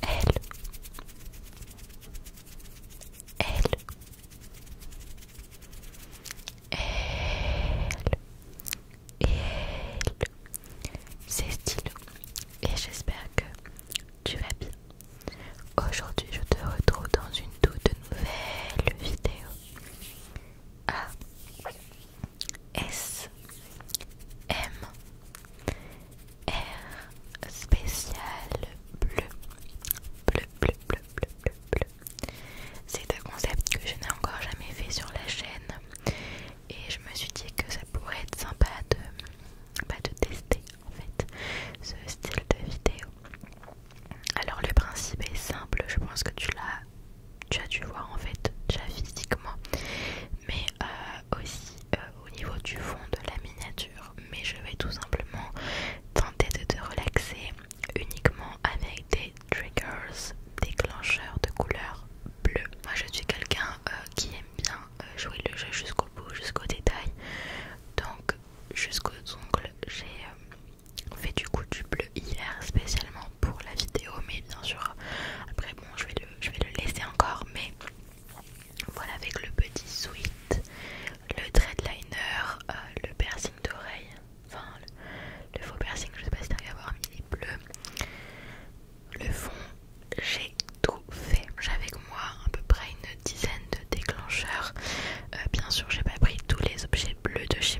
Elle. Elle. Elle. Et C'est stylo. Et j'espère que tu vas bien. Aujourd'hui, je te retrouve dans une toute nouvelle vidéo. A S M R spécial bleu bleu bleu bleu bleu bleu, bleu. C'est un concept que je n'ai encore jamais fait sur la chaîne et je me suis dit que ça pourrait être sympa de, bah, de tester en fait ce style de vidéo alors le principe est simple, je pense que tu l'as, tu as dû voir en fait déjà physiquement, mais euh, aussi euh, au niveau du fond de la miniature. Mais je vais tout simplement tenter de te relaxer uniquement avec des triggers, déclencheurs de couleur bleue. Moi je suis quelqu'un euh, qui aime bien jouer le jeu jusqu'au bout, jusqu'au détail, donc jusqu'aux ongles j'ai... On fait du coup du bleu hier spécialement pour la vidéo, mais bien sûr, après bon, je vais le, vais laisser encore, mais voilà avec le petit sweat, le dreadliner, euh, le piercing d'oreille, enfin le, faux piercing, je sais pas si t'arrives à mais il est bleu. Le fond, j'ai tout fait. J'ai avec moi à peu près une dizaine de déclencheurs. Euh, bien sûr, j'ai pas pris tous les objets bleus de chez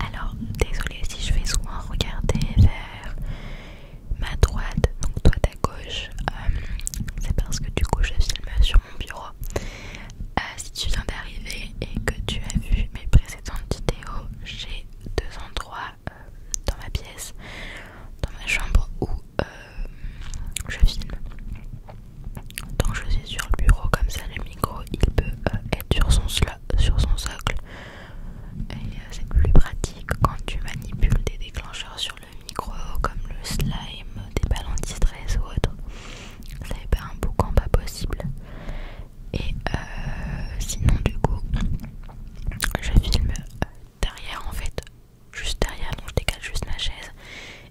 Alors, désolée si je vais souvent regarder vers ma droite, donc toi ta gauche, euh, c'est parce que du coup je filme sur mon bureau. Euh, si tu viens d'arriver et que tu as vu mes précédentes vidéos, j'ai deux endroits euh, dans ma pièce, dans ma chambre où je filme. Tant je suis sur le bureau, comme ça le micro il peut euh, être sur son, sur son socle. Et euh, c'est plus pratique quand tu manipules des déclencheurs sur le micro, comme le slime, des balles anti-stress ou autre. Ça pas un boucan pas possible. Et euh, sinon, du coup, je filme derrière en fait, juste derrière, donc je décale juste ma chaise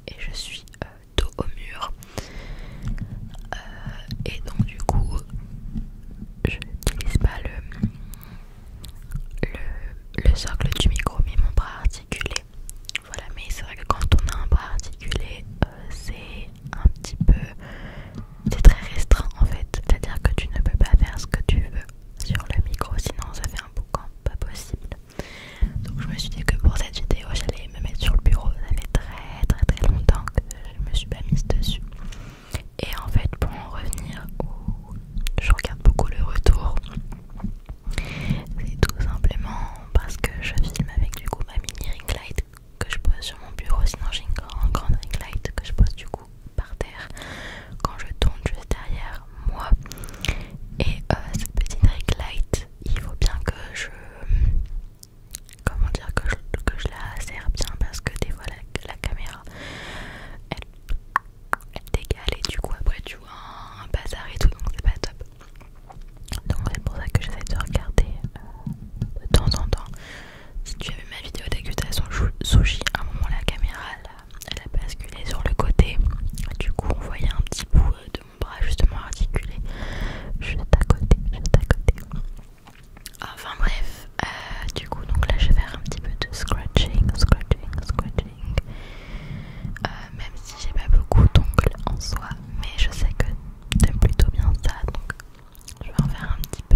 et je suis dos au mur euh, et donc du coup je n'utilise pas le, le, socle du micro mais mon bras articulé voilà mais c'est vrai que quand on a un bras articulé euh, c'est un petit peu c'est très restreint en fait c'est à dire que tu ne peux pas faire ce que tu veux sur le micro sinon ça fait un boucan pas possible donc je me suis dit que pour cette vidéo j'allais me mettre sur le bureau, ça fait très très très longtemps que je me suis pas mise dessus. Et en fait pour en revenir où je regarde beaucoup le retour, c'est tout simplement parce que je filme avec du coup ma mini ring light que je pose sur mon bureau, sinon j'ai une grande, ring light que je pose du coup par terre quand je tourne juste derrière moi. Et euh, cette petite ring light, il faut bien que je comment dire que je, la serre bien parce que des fois la, caméra elle, et du coup après tu vois un bazar et tout donc c'est pas top donc c'est pour ça que j'essaie de regarder euh, de temps en temps si tu as vu ma vidéo dégustation sushi à un moment la caméra elle a basculé sur le côté du coup on voyait un petit bout euh, de mon bras justement articulé juste à côté, juste à côté. Enfin bref, euh, du coup donc là je vais faire un petit peu de scratching, scratching, scratching. Euh, même si j'ai pas beaucoup d'ongles en soi, mais je sais que t'aimes plutôt bien ça, donc je vais en faire un petit peu.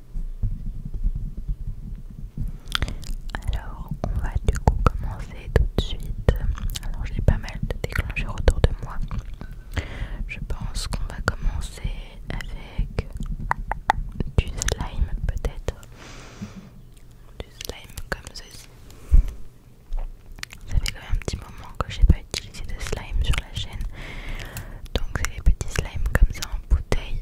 Alors, on va du coup commencer tout de suite. Alors, j'ai pas mal de déclencheurs autour de moi. Je pense qu'on va commencer avec du slime, peut-être. Du slime comme ceci. Ça fait quand même un petit moment que j'ai pas utilisé de slime sur la chaîne. Donc, c'est des petits slimes comme ça en bouteille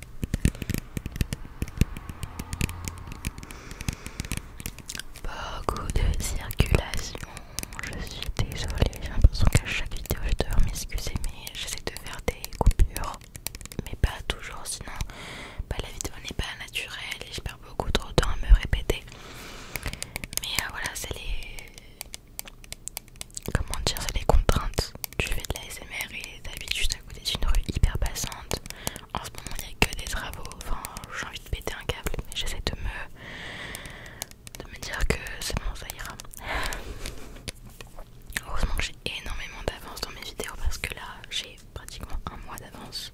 Beaucoup de circulation, je suis désolée, j'ai l'impression qu'à chaque vidéo je dois m'excuser mais j'essaie de faire des coupures mais pas toujours sinon bah, la vidéo n'est pas naturelle et je perds beaucoup trop de temps à me répéter mais euh, voilà c'est les comment dire c'est les contraintes je fais de la SMR et t'habites juste à côté d'une rue hyper passante. En ce moment, il n'y a que des travaux. Enfin, j'ai envie de péter un câble, mais j'essaie de me... de me dire que c'est bon, ça ira. Heureusement que j'ai énormément d'avance dans mes vidéos parce que là, j'ai pratiquement un mois d'avance.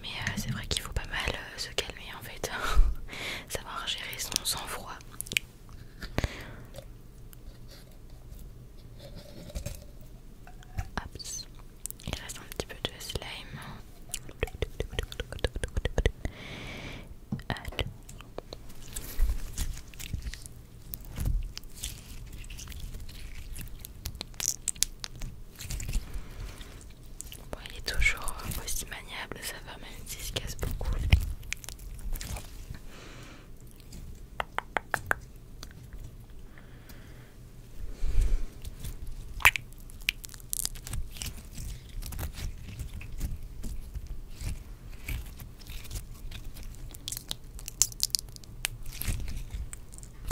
Mais euh, c'est vrai qu'il faut pas mal euh, se calmer en fait, savoir gérer son sang-froid Hops. Il reste un petit peu de slime. Bon, il est toujours aussi maniable, ça va, même se casse beaucoup.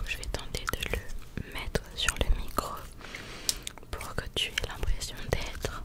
Je vais tenter de le mettre sur le micro pour que tu aies l'impression d'être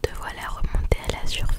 Te voilà remonté à la surface.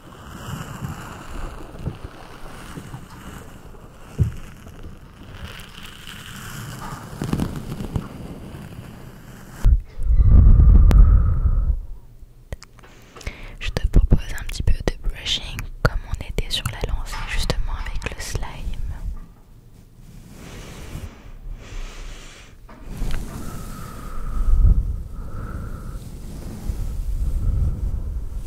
Je te propose un petit peu de brushing comme on était sur la lancée justement avec le slime.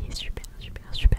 Il est super, super, super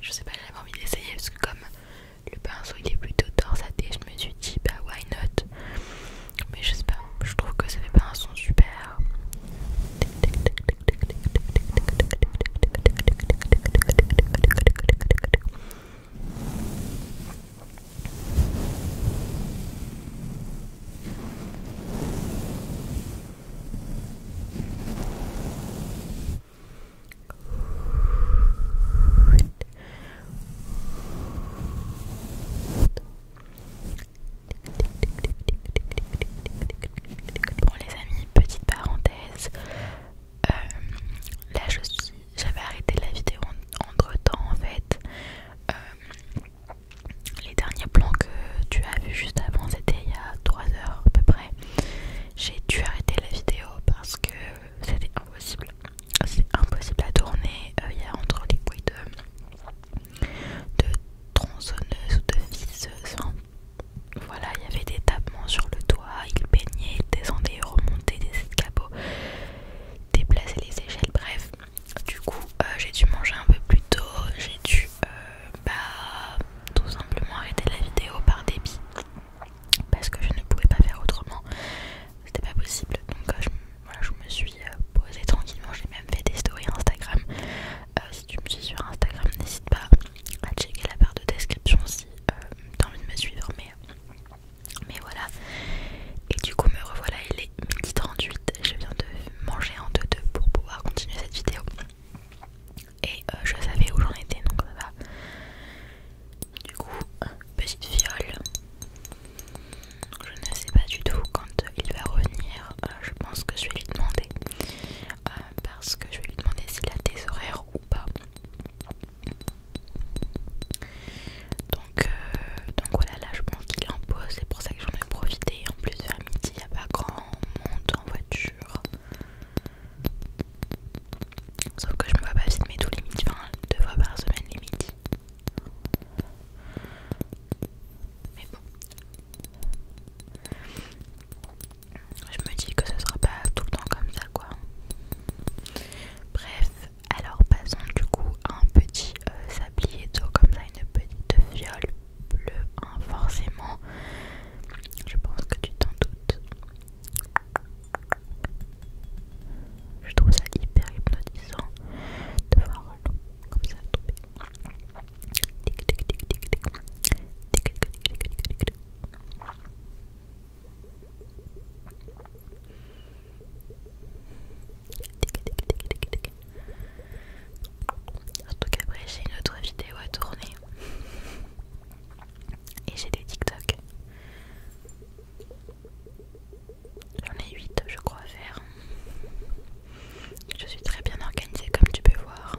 je sais pas, j'avais envie d'essayer parce que comme le pinceau il est plutôt torsaté, je me suis dit bah why not Mais je sais pas, je trouve que ça fait pas un son super. Bon les amis, petite parenthèse. Euh, là je suis, j'avais arrêté la vidéo entre temps en fait. Euh, les derniers plans que tu as vus juste avant, c'était il y a 3 heures à peu près. J'ai dû arrêter la vidéo parce que c'était euh, impossible. C'est impossible à tourner. Euh, il y a entre les couilles de, tronçonneuse ou de visseuse. voilà, il y avait des tapements sur le toit. Il baignait, descendait, remontait des escabeaux, déplaçait les échelles. Bref, du coup, euh, j'ai dû manger un peu plus tôt. J'ai dû bah, tout simplement arrêter la vidéo par débit parce que je ne pouvais pas faire autrement c'était pas possible donc euh, je, me suis euh, posée tranquillement j'ai même fait des stories Instagram euh, si tu me suis sur Instagram n'hésite pas à checker la barre de description si t'as envie de me suivre mais, mais voilà et du coup me revoilà il est midi 38 je viens de manger en deux deux pour pouvoir continuer cette vidéo et euh, je savais où j'en étais donc ça va. Du coup, petite fiole. Je ne sais pas du tout quand il va revenir. Euh, je pense que je vais lui demander euh, parce que je vais lui demander s'il a des horaires ou pas. Donc, donc voilà, là je pense qu'il est en pause, c'est pour ça que j'en ai profité. En plus, vers midi, il n'y a pas grand monde en voiture. Sauf que je me vois pas filmer tous les midis, enfin deux fois par semaine les Mais bon. Je me dis que ce sera pas tout le temps comme ça quoi. Bref, alors passons du coup à un petit euh, sablier tout comme ça, une petite viole bleue, hein, forcément. Je pense que tu t'en doutes. Je trouve ça hyper hypnotisant de voir comme ça En tout cas, après, j'ai une autre vidéo à tourner. Et j'ai des TikTok. J'en ai huit, je crois faire. Je suis très bien organisée comme tu peux voir.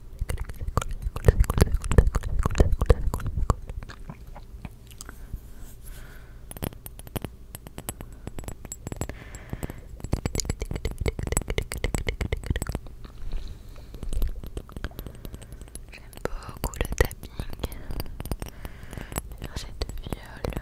J'aime beaucoup le tapping, j'ai cette viol.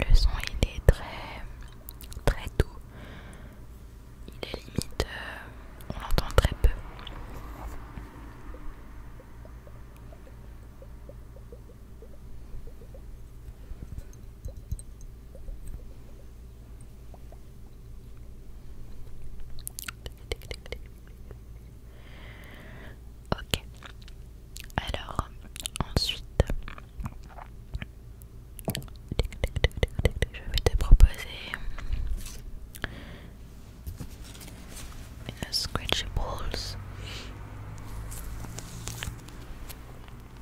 Le son il est très très doux. Il est limite euh, on l'entend très peu. Ok. Alors, ensuite, je vais te proposer une Scratchy Balls.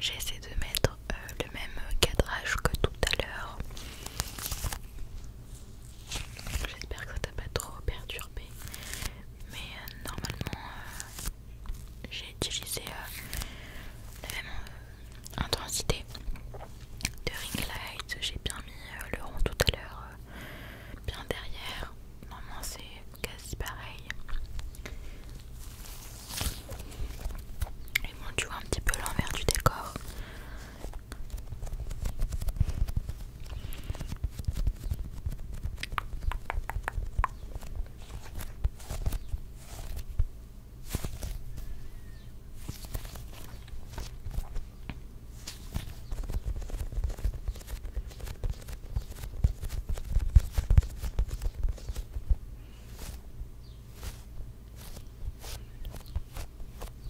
J'essaie de mettre euh, le même cadrage que tout à l'heure. J'espère que ça t'a pas trop perturbé. Mais euh, normalement, euh, j'ai utilisé la même intensité de ring light. J'ai bien mis le rond tout à l'heure, bien derrière. Normalement, c'est quasi pareil. Et bon, tu vois un petit peu l'envers du décor.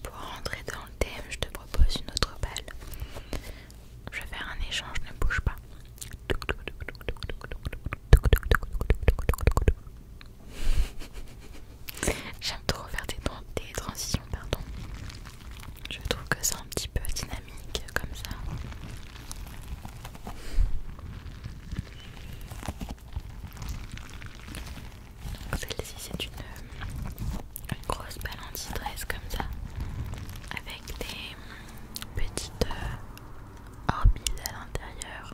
Pour rentrer dans le thème, je te propose une autre balle. Je vais faire un échange, ne bouge pas. J'aime trop faire des, transitions, pardon. Je trouve que c'est un petit peu dynamique comme ça. Celle-ci c'est une, euh, grosse balle anti comme ça avec des petites euh, orbites à l'intérieur.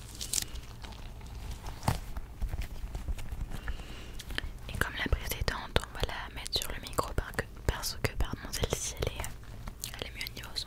Et comme la précédente, on va la mettre sur le micro parce que pardon, celle-ci elle est, elle est mieux au niveau son.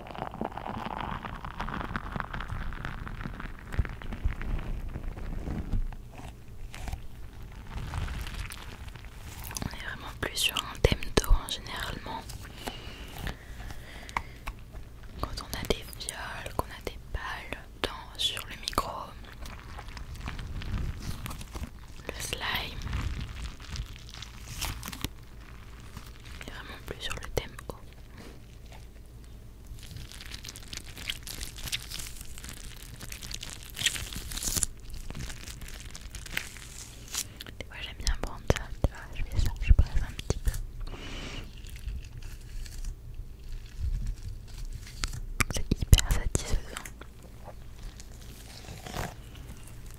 On est vraiment plus sur un thème d'eau hein, généralement. Quand on a des viols, qu'on a des balles dans, sur le micro, le slime, on vraiment plus sur le thème haut. Des fois j'aime bien prendre ça, tu vois, je fais ça, je presse un petit peu. C'est hyper satisfaisant.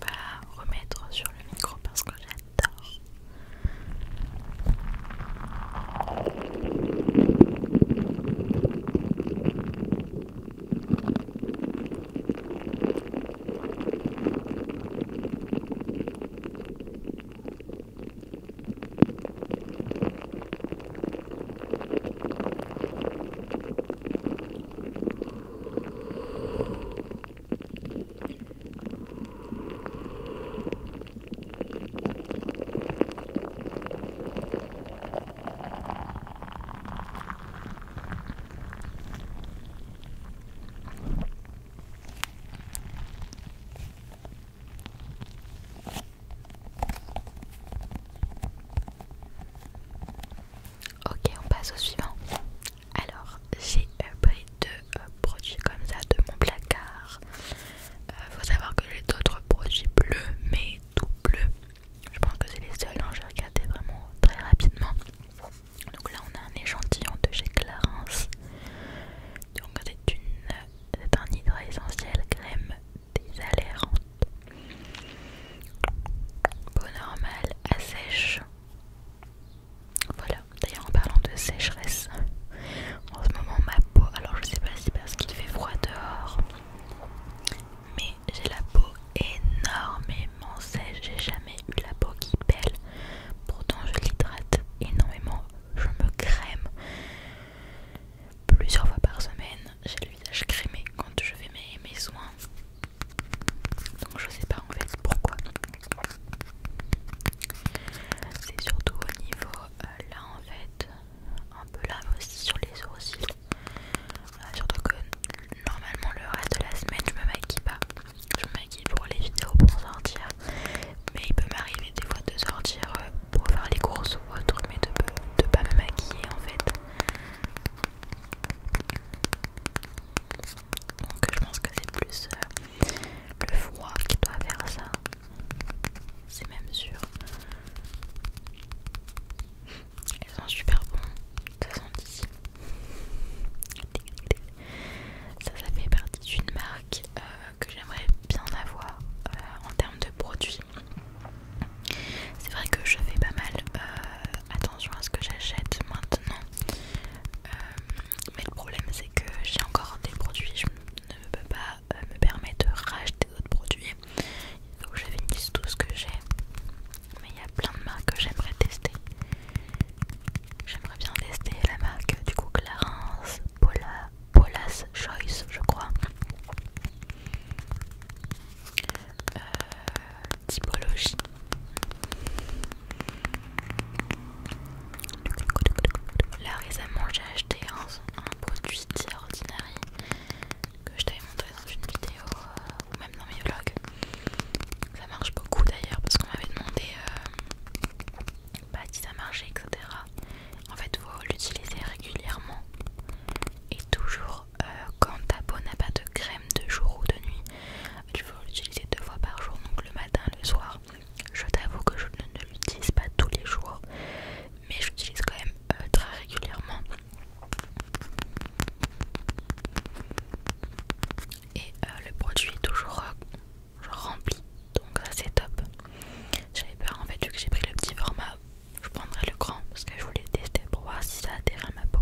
va remettre sur le micro parce que j'adore. Ok, on passe au suivant. Alors j'ai euh, pris deux euh, produits comme ça de mon placard. Il euh, faut savoir que j'ai d'autres produits bleus, mais tout bleu. Je pense que c'est les seuls, je hein, j'ai regarder vraiment très rapidement. Donc là on a un échantillon de chez Clarins. Donc c'est un hydra essentiel crème désalérante. Peau normale, sèche. Voilà, d'ailleurs en parlant de sécheresse, en ce moment ma peau, alors je sais pas si parce qu'il fait froid dehors, mais j'ai la peau énormément sèche, j'ai jamais eu la peau qui pèle, pourtant je l'hydrate énormément, je me crème plusieurs fois par semaine, j'ai le visage crémé quand je fais mes soins. Donc je sais pas en fait pourquoi. C'est surtout au niveau euh, là en fait, un peu là aussi sur les sourcils. Euh, surtout que normalement le reste de la semaine je me maquille pas. Je me maquille pour les vidéos pour sortir. Mais il peut m'arriver des fois de sortir euh, pour faire les courses ou autre mais de, de pas me maquiller en fait. Donc je pense que c'est plus euh, le froid qui doit faire ça. C'est même sûr. Ils sont super bons. Ça Ça, ça fait partie d'une marque euh, que j'aimerais bien avoir euh, en termes de produits. C'est vrai que je fais pas mal attention à ce que j'achète maintenant euh, mais le problème c'est que j'ai encore des produits, je ne peux pas euh, me permettre de racheter d'autres produits. Donc je finisse tout ce que j'ai. Mais il y a plein de marques que j'aimerais tester. J'aimerais bien tester la marque du coup Clarence, Polas Choice je crois. Euh, typologie. Là récemment j'ai acheté un, produit extraordinaire que je t'avais montré dans une vidéo euh, ou même dans mes vlogs. Ça marche beaucoup d'ailleurs parce qu'on m'avait demandé euh, bah, si ça marchait etc. En fait vous l'utilisez régulièrement et toujours euh, quand ta peau n'a pas de crème de jour ou de nuit, tu peux l'utiliser deux fois par jour, donc le matin et le soir. Je t'avoue que je ne, l'utilise pas tous les jours, mais je l'utilise quand même euh, très régulièrement. Et euh, le produit est toujours rempli, donc ça c'est top. J'avais peur en fait, vu que j'ai pris le petit format, je prendrai le grand parce que je voulais tester pour voir si ça adhère à ma peau.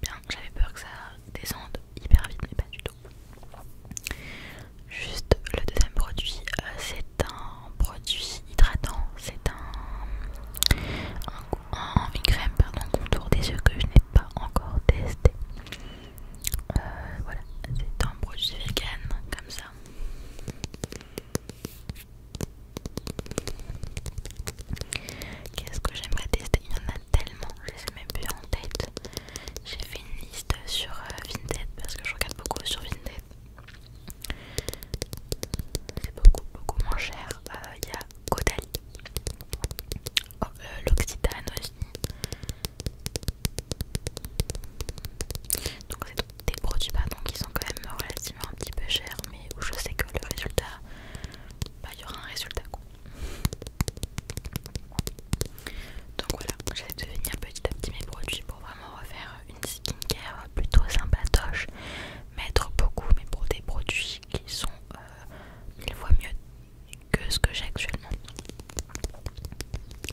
Bien, j'avais peur que ça descende hyper vite, mais pas du tout. Juste le deuxième produit, euh, c'est un produit hydratant, c'est un, un, une crème pardon, contour des yeux que je n'ai pas encore testé. Euh, voilà, c'est un produit vegan comme ça. Qu'est-ce que j'aimerais tester Il y en a tellement, je les ai même en tête. J'ai fait une liste sur euh, Vinted parce que je regarde beaucoup sur Vinted. C'est beaucoup, beaucoup moins cher. Euh, il y a Caudalie. Oh, euh, l'Occitane aussi. Donc, c'est des produits qui sont quand même relativement un petit peu chers, mais où je sais que le résultat, bah, il y aura un résultat. court. Donc voilà, j'essaie de venir petit à petit mes produits pour vraiment refaire une skincare plutôt sympatoche. Mettre beaucoup, mais pour des produits qui sont euh, mille fois mieux que ce que j'ai actuellement.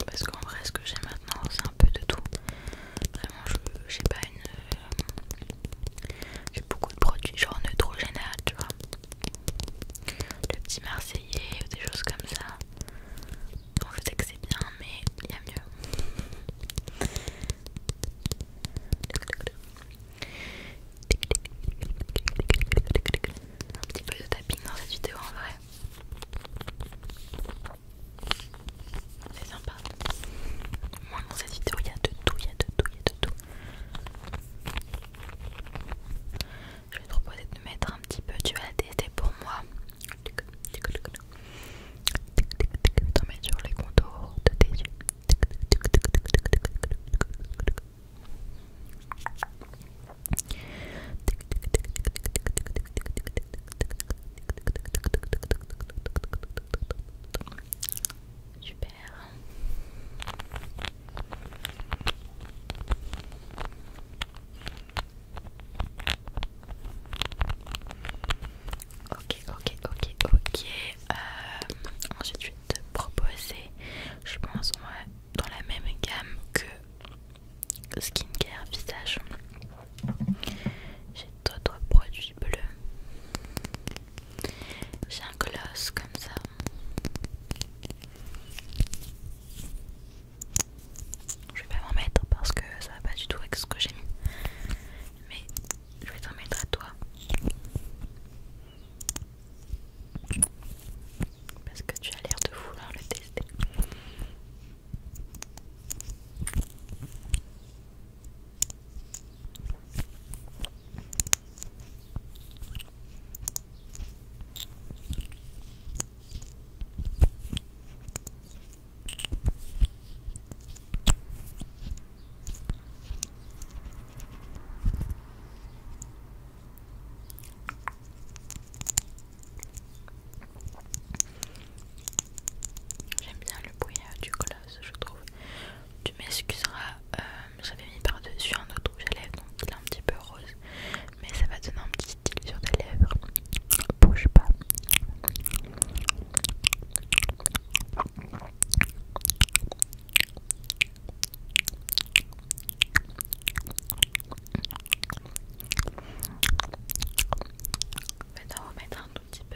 Parce qu'en vrai, ce que j'ai maintenant, c'est un peu de tout. Vraiment, je j'ai pas une, euh, j'ai beaucoup de produits genre neutrogena tu vois. Le petit marseillais ou des choses comme ça. Bon, je sais que c'est bien, mais il y a mieux. Un petit peu de tapping dans cette vidéo en vrai. C'est sympa. Moi dans cette vidéo il y a de tout, il y a de tout, il y a de tout. Je vais te proposer de mettre un petit peu, tu vas pour moi. T'en mettre sur les contours de tes yeux. Super. Ok, ok, ok, ok. Euh, ensuite, je vais te proposer, je pense, dans la même gamme que skincare visage. J'ai d'autres produits bleus. J'ai un gloss comme ça. Je vais pas m'en mettre parce que ça va pas du tout avec ce que j'ai mis. Mais je vais t'en mettre à toi. Parce que tu as l'air de vouloir le tester. J'aime bien le bruit euh, du colosse, je trouve tu m'excuseras, euh, j'avais mis par-dessus un autre rouge à lèvres, donc il est un petit peu rose, mais ça va donner un petit style sur tes lèvres. Bouge pas. Maintenant On va mettre un tout petit peu.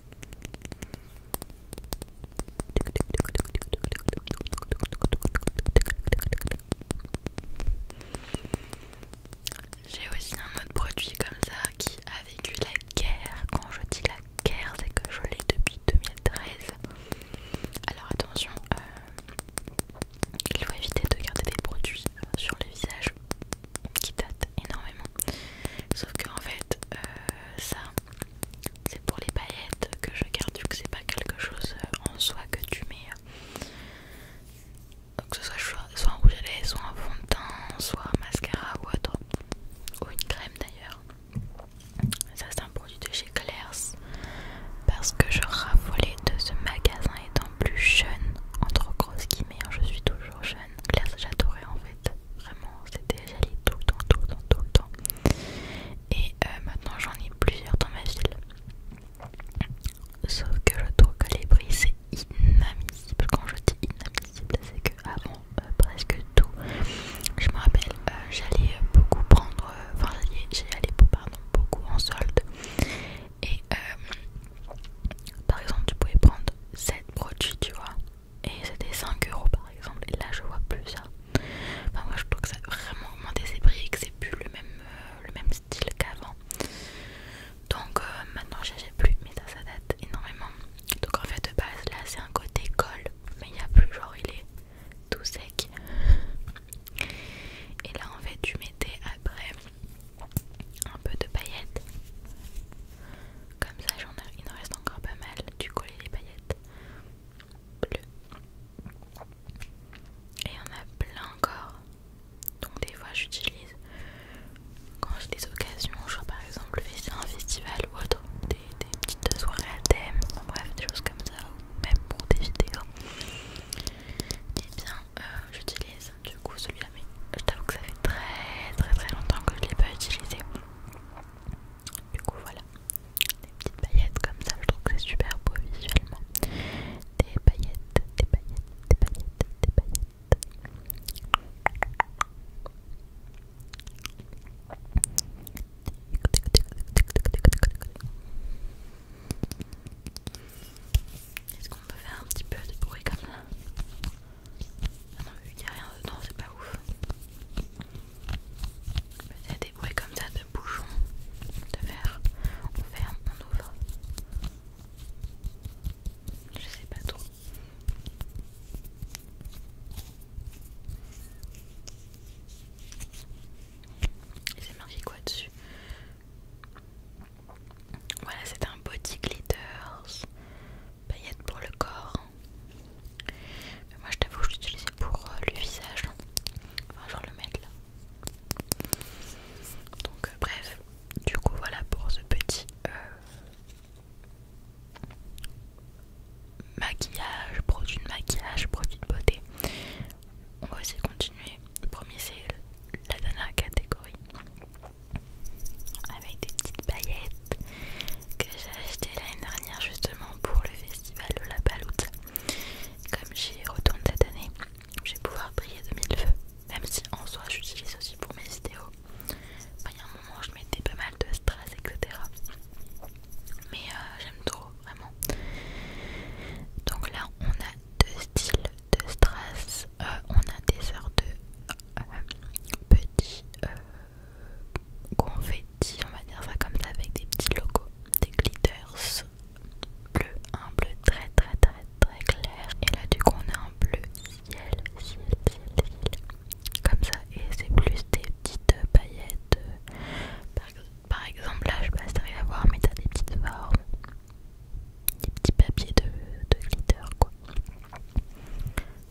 J'ai aussi un autre produit comme ça qui a vécu la guerre. Quand je dis la guerre, c'est que je l'ai depuis 2013. Alors attention, euh, il faut éviter de garder des produits sur le visage qui datent énormément. Sauf que en fait, euh, ça, c'est pour les paillettes que je garde vu que c'est pas quelque chose euh, en soi que tu mets donc euh, que ce soit soit un rouge à lèvres, soit un fond de teint, soit un mascara ou autre ou une crème d'ailleurs ça c'est un produit de chez Claire's parce que je raffolais de ce magasin étant plus jeune entre grosses guillemets hein, je suis toujours jeune Claire's j'adorais en fait Vraiment, c'était j'allais tout le temps, tout le temps, tout le temps. Et euh, maintenant j'en ai plusieurs dans ma ville. Sauf que le trouve que les c'est inadmissible. Quand je dis inadmissible, c'est que avant euh, presque tout, je me rappelle, euh, j'allais beaucoup prendre, enfin j'allais pardon beaucoup en solde. Et par exemple, tu pouvais prendre 7 produits, tu vois, et c'était 5 euros par exemple et là je vois plus ça enfin moi je trouve que ça a vraiment augmenté ses prix et que c'est plus le même, euh, le même style qu'avant donc euh, maintenant maintenant n'ai plus mais ça ça date énormément donc en fait de base là c'est un côté colle mais il n'y a plus genre il est tout sec et là en fait tu mettais après un peu de paillettes comme ça il en reste encore pas mal tu collais les paillettes bleu. Et en a plein encore. Donc des fois j'utilise quand j'ai des occasions, genre par exemple un festival ou autre, des, petites soirées à thème, bref des choses comme ça, ou même pour des vidéos. Et eh bien euh, j'utilise du coup celui-là, mais je t'avoue que ça fait très très très longtemps que je ne l'ai pas utilisé. Du coup voilà des petites paillettes comme ça, je trouve que c'est super beau visuellement. Des paillettes, des paillettes, des paillettes, des paillettes. Est-ce qu'on peut faire un petit peu de bruit comme ça ah non, vu qu'il n'y a rien dedans, c'est pas ouf y a des bruits comme ça de bouchons de verre. On ferme, on ouvre. Je sais pas trop. Et c'est marqué quoi dessus Voilà, c'est un body glitters, paillettes pour le corps moi je t'avoue, je l'utilisais pour euh, le visage. Enfin, genre le mettre là. Donc, euh, bref, du coup, voilà pour ce petit euh, maquillage, produit de maquillage, produit de beauté. On va aussi continuer. Le premier, c'est la dernière catégorie avec des petites paillettes que j'ai achetées l'année dernière justement pour le festival de la Paloute. Comme j'y retourne cette année, je vais pouvoir briller de mille feux, même si en soi j'utilise aussi pour mes vidéos. il y a un moment je mettais pas mal de stress, etc. Mais euh, j'aime trop, vraiment. Donc là, on a deux styles de stress. Euh, on a des sortes de euh, petits confetti, on va dire ça comme ça, avec des petits logos, des glitters bleu, un bleu très très très très clair. Et là du coup on a un bleu ciel, ciel, ciel, comme ça. Et c'est plus des petites paillettes. Par, exemple là, je sais pas si t'arrives à voir, mais t'as des petites formes, des petits papiers de, de glitter quoi.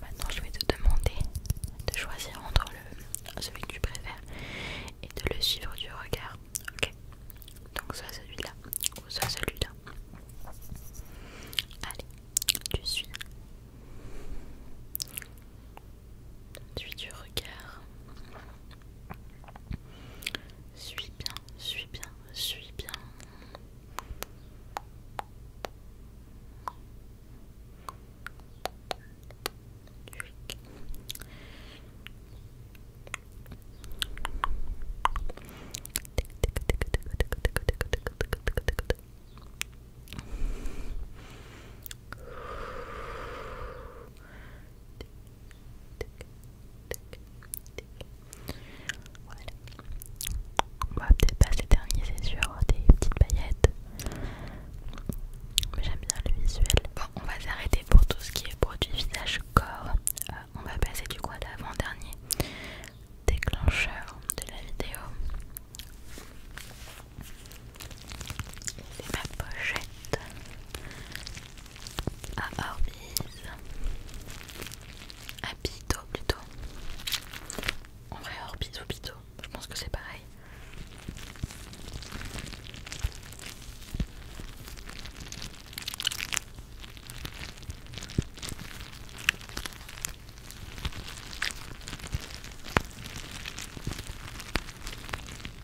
Maintenant, je vais te demander de choisir entre celui que tu préfères et de le suivre du regard. Ok Donc, soit celui-là ou soit celui-là. Allez, tu suis. Tu suis du regard. Suis bien, suis bien, suis bien. On va peut-être pas dernier c'est sûr, hein, des petites paillettes. Mais j'aime bien le visuel. Bon, on va s'arrêter pour tout ce qui est produit visage corps. Euh, on va passer du coup à l'avant-dernier déclencheur de la vidéo. C'est ma pochette à Orbis, à Pito plutôt. En vrai, Orbis ou Pito, je pense que c'est pareil.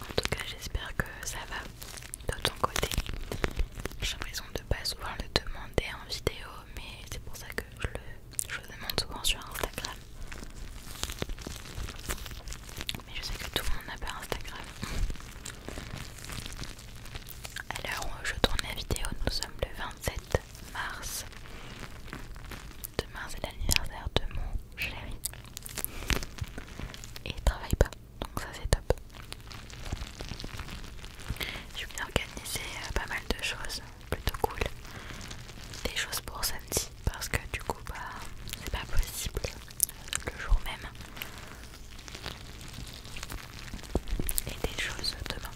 En tout cas, j'espère que ça va de ton côté. J'ai l'impression de ne pas souvent le demander en vidéo, mais c'est pour ça que je le, demande souvent sur Instagram. Mais je sais que tout le monde n'a pas Instagram. Alors, euh, je tourne la vidéo, nous sommes le 27 mars. Demain, c'est l'anniversaire de mon chéri. Et il travaille pas, donc ça c'est top. Je vais organiser euh, pas mal de choses, plutôt cool. Des choses pour samedi, parce que du coup, bah, c'est pas possible le jour même et des choses demain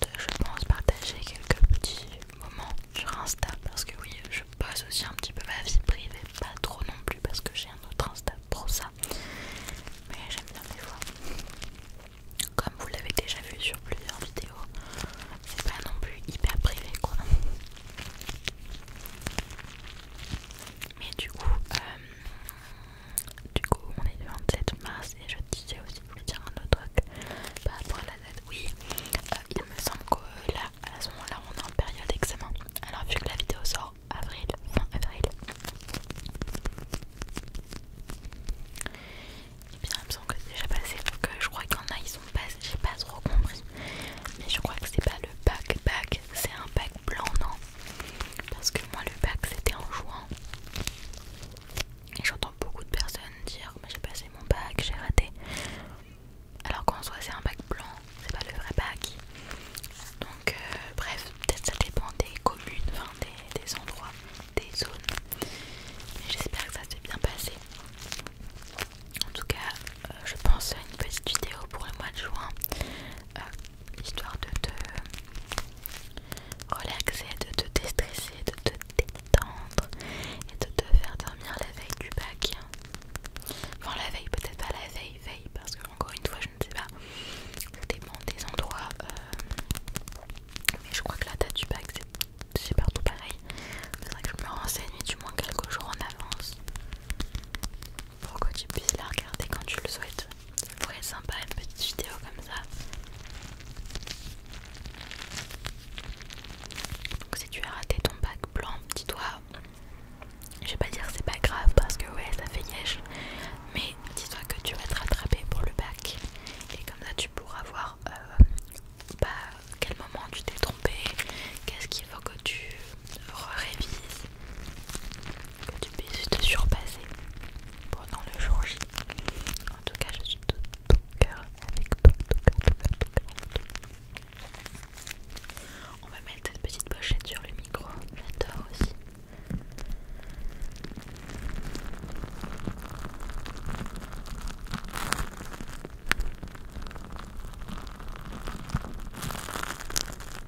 de, je pense partager quelques petits moments sur Insta parce que oui je pose aussi un petit peu ma vie privée pas trop non plus parce que j'ai un autre Insta pour ça mais j'aime bien les fois comme vous l'avez déjà vu sur plusieurs vidéos c'est pas non plus hyper privé quoi mais du coup euh, du coup, on est le 27 mars et je disais aussi, je dire un autre truc par rapport à la date. Oui, euh, il me semble que là, à ce moment-là, on est en période d'examen Alors, vu que la vidéo sort avril, fin avril, et eh bien, il me semble que c'est déjà passé. Euh, je crois qu'il y a, ils sont passés, j'ai pas trop compris. Mais je crois que c'est pas le bac, bac, c'est un bac blanc, non parce que moi le bac c'était en juin. Et j'entends beaucoup de personnes dire j'ai passé mon bac, j'ai raté. Alors qu'en soit c'est un bac blanc, c'est pas le vrai bac. Donc euh, bref, peut-être ça dépend des communes, enfin des, endroits, des zones. j'espère que ça s'est bien passé. En tout cas, euh, je pense à une petite vidéo pour le mois de juin. Euh, histoire de te relaxer, de te déstresser, de te détendre et de te faire dormir la veille du bac. Enfin la veille, peut-être pas la veille, veille, parce que encore une fois je ne sais pas, dépend des endroits. Euh, mais je crois que la date du bac c'est partout pareil. Il faudrait que je me renseigne du moins quelques jours en avance pour que tu puisses la regarder quand tu le souhaites. Ça sympa une petite vidéo comme ça. Donc si tu as raté ton bac blanc, dis-toi, je vais pas dire c'est pas grave parce que ouais ça fait nièche, mais dis-toi que tu vas te rattraper pour le bac et comme ça tu pourras voir euh, bah, quel moment tu t'es trompé, qu'est-ce qu'il faut que tu révises que tu puisses te surpasser pendant le jour J. En tout cas, je suis de ton cœur avec toi, tout cœur, tout cœur, tout On va mettre cette petite pochette sur le micro, j'adore aussi.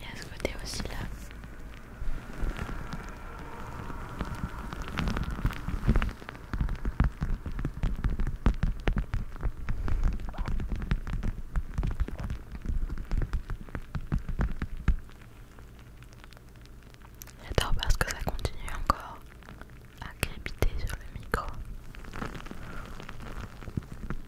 Il y ce côté aussi là. J'adore parce que ça continue encore à crépiter sur le micro.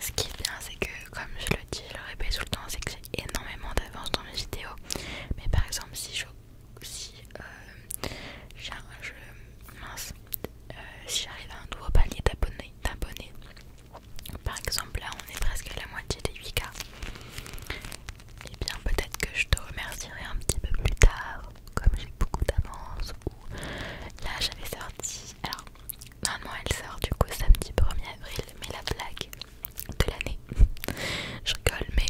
Ce qui est bien, c'est que, comme je le dis, je le répète tout le temps, c'est que j'ai énormément d'avance dans mes vidéos. Mais par exemple, si je. si euh, euh, j'arrive à un nouveau palier d'abonnés, Par exemple, là, on est presque à la moitié des 8K. Et eh bien, peut-être que je te remercierai un petit peu plus tard, comme j'ai beaucoup d'avance. Ou là, j'avais sorti alors, normalement elle sort du coup samedi 1er avril, mais la blague de l'année, je rigole, mais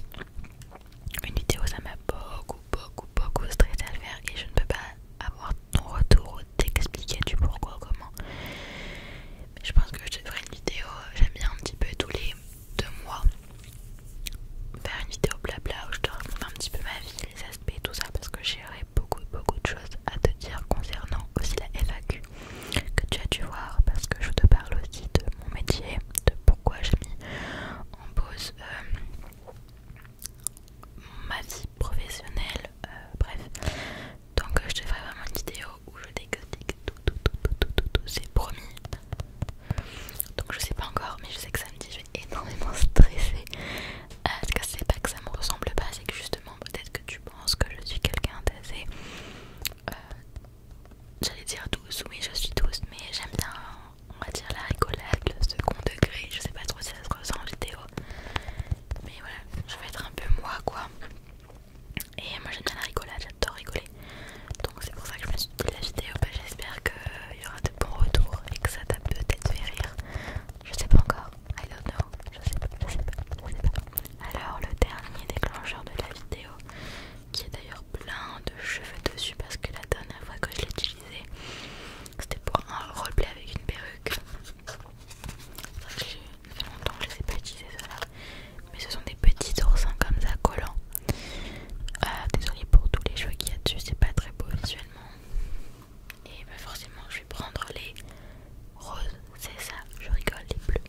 une vidéo ça m'a beaucoup, beaucoup, beaucoup stressé à le faire et je ne peux pas avoir ton retour ou t'expliquer du pourquoi, comment. Mais je pense que je te ferai une vidéo, j'aime bien un petit peu tous les deux mois faire une vidéo blabla où je te raconte un petit peu ma vie aspects tout ça parce que j'ai beaucoup beaucoup de choses à te dire concernant aussi la FAQ que tu as dû voir parce que je te parle aussi de mon métier, de pourquoi j'ai mis en pause ma vie professionnelle, euh, bref. Donc je te ferai vraiment une vidéo où je t'explique tout, tout, tout, tout, tout, tout, tout c'est promis. Donc je sais pas encore mais je sais que samedi je vais énormément stresser que c'est pas que ça me ressemble pas, c'est que justement peut-être que tu penses que je suis quelqu'un d'assez, euh, j'allais dire douce, oui je suis douce, mais j'aime bien, on va dire la rigolade, le second degré, je sais pas trop si ça se ressent en vidéo, mais voilà, je vais être un peu moi quoi. Et moi j'aime bien la rigolade, j'adore rigoler. Donc c'est pour ça que je me suis dit la vidéo, bah, j'espère qu'il euh, y aura de bons retours et que ça t'a peut-être fait rire. Je sais pas encore. I don't know. Je sais pas, je sais pas, je sais pas. Alors, le dernier déclencheur de la vidéo, qui est d'ailleurs plein de cheveux dessus parce que la dernière fois que je l'ai utilisé, c'était pour un roleplay avec une perruque. Ça fait longtemps que je ne les ai pas utilisés, ceux-là. Mais ce sont des petits oursins comme ça collants. Euh, désolé désolée pour tous les cheveux qu'il y a dessus, c'est pas très beau visuellement. Et bah forcément je vais prendre les roses, c'est ça, je rigole, les bleus.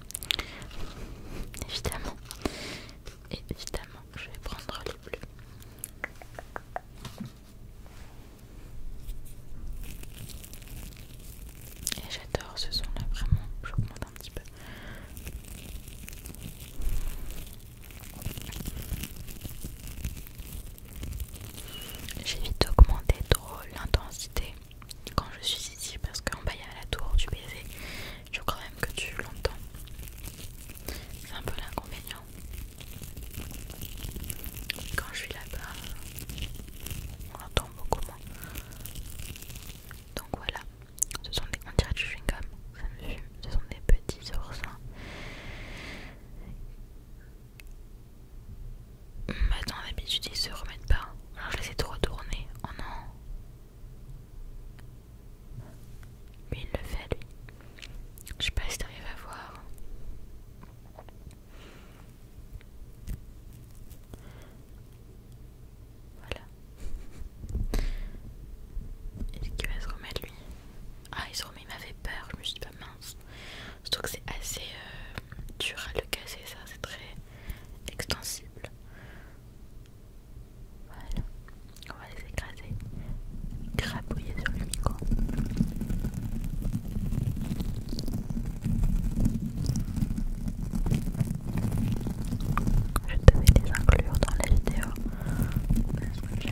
Évidemment. Évidemment, je vais prendre les bleus. Et j'adore ce son là, vraiment, j'augmente un petit peu. J'ai vite augmenté trop l'intensité quand je suis ici parce qu'en bas il y a la tour du baiser. Je crois même que tu l'entends. C'est un peu l'inconvénient. Quand je suis là-bas, on l'entend beaucoup moins. Donc voilà, ce sont des. On dirait du chewing-gum, ça Ce sont des petits oursins Attends, bah, d'habitude ils se remettent pas. Alors je les ai retourner. Oh non. Mais il le fait lui. Je sais pas si t'arrives à voir. Voilà. est qui va se remettre lui Ah il se remet, il m'avait peur, je me suis pas bah, mince. Je trouve que c'est assez euh, dur à le casser, ça c'est très extensible. Voilà, on va les écraser, crapouiller sur le micro. Je devais les inclure dans la vidéo,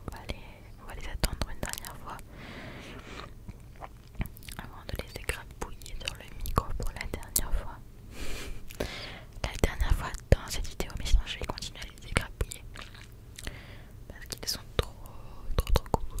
On va, les, attendre une dernière fois avant de les écrabouiller sur le micro pour la dernière fois. La dernière fois dans cette vidéo, mais sinon je vais continuer à les écrabouiller parce qu'ils sont trop trop trop cool.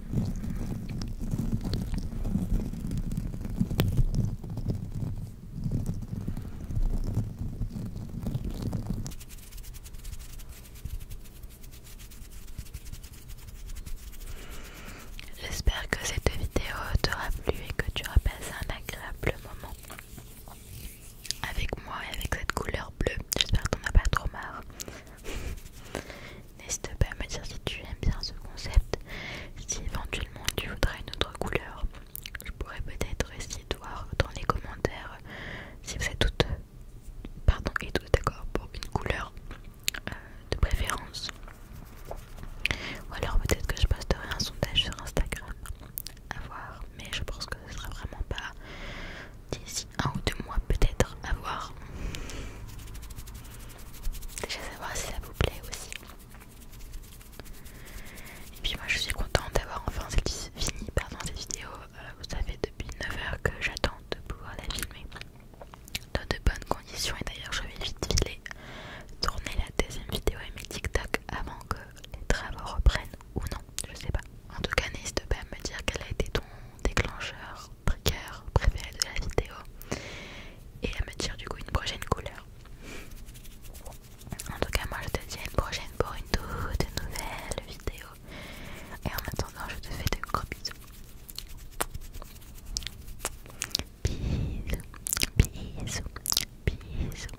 J'espère que cette vidéo t'aura plu et que tu auras passé un agréable moment avec moi et avec cette couleur bleue. J'espère qu'on n'a pas trop marre. N'hésite pas à me dire si tu aimes bien ce concept. Si éventuellement tu voudrais une autre couleur, je pourrais peut-être essayer de voir dans les commentaires si vous êtes toutes, pardon, et d'accord pour une couleur euh, de préférence. Ou alors peut-être que je posterai un sondage sur Instagram. À voir, mais je pense que ce sera vraiment pas d'ici un ou deux mois peut-être à voir déjà savoir si ça vous plaît aussi et puis moi je suis contente d'avoir enfin fini pardon, cette vidéo vous euh, savez depuis 9 heures que j'attends de pouvoir la filmer dans de bonnes conditions et d'ailleurs je vais vite filer tourner la deuxième vidéo et mes TikTok avant que les travaux reprennent ou non, je sais pas. En tout cas, n'hésite pas à me dire quel a été ton déclencheur trigger préféré de la vidéo et à me dire du coup une prochaine couleur. En tout cas, moi je te dis à une prochaine pour une toute nouvelle vidéo. Et en attendant, je te fais de gros bisous. Bisous, bisous, bisous.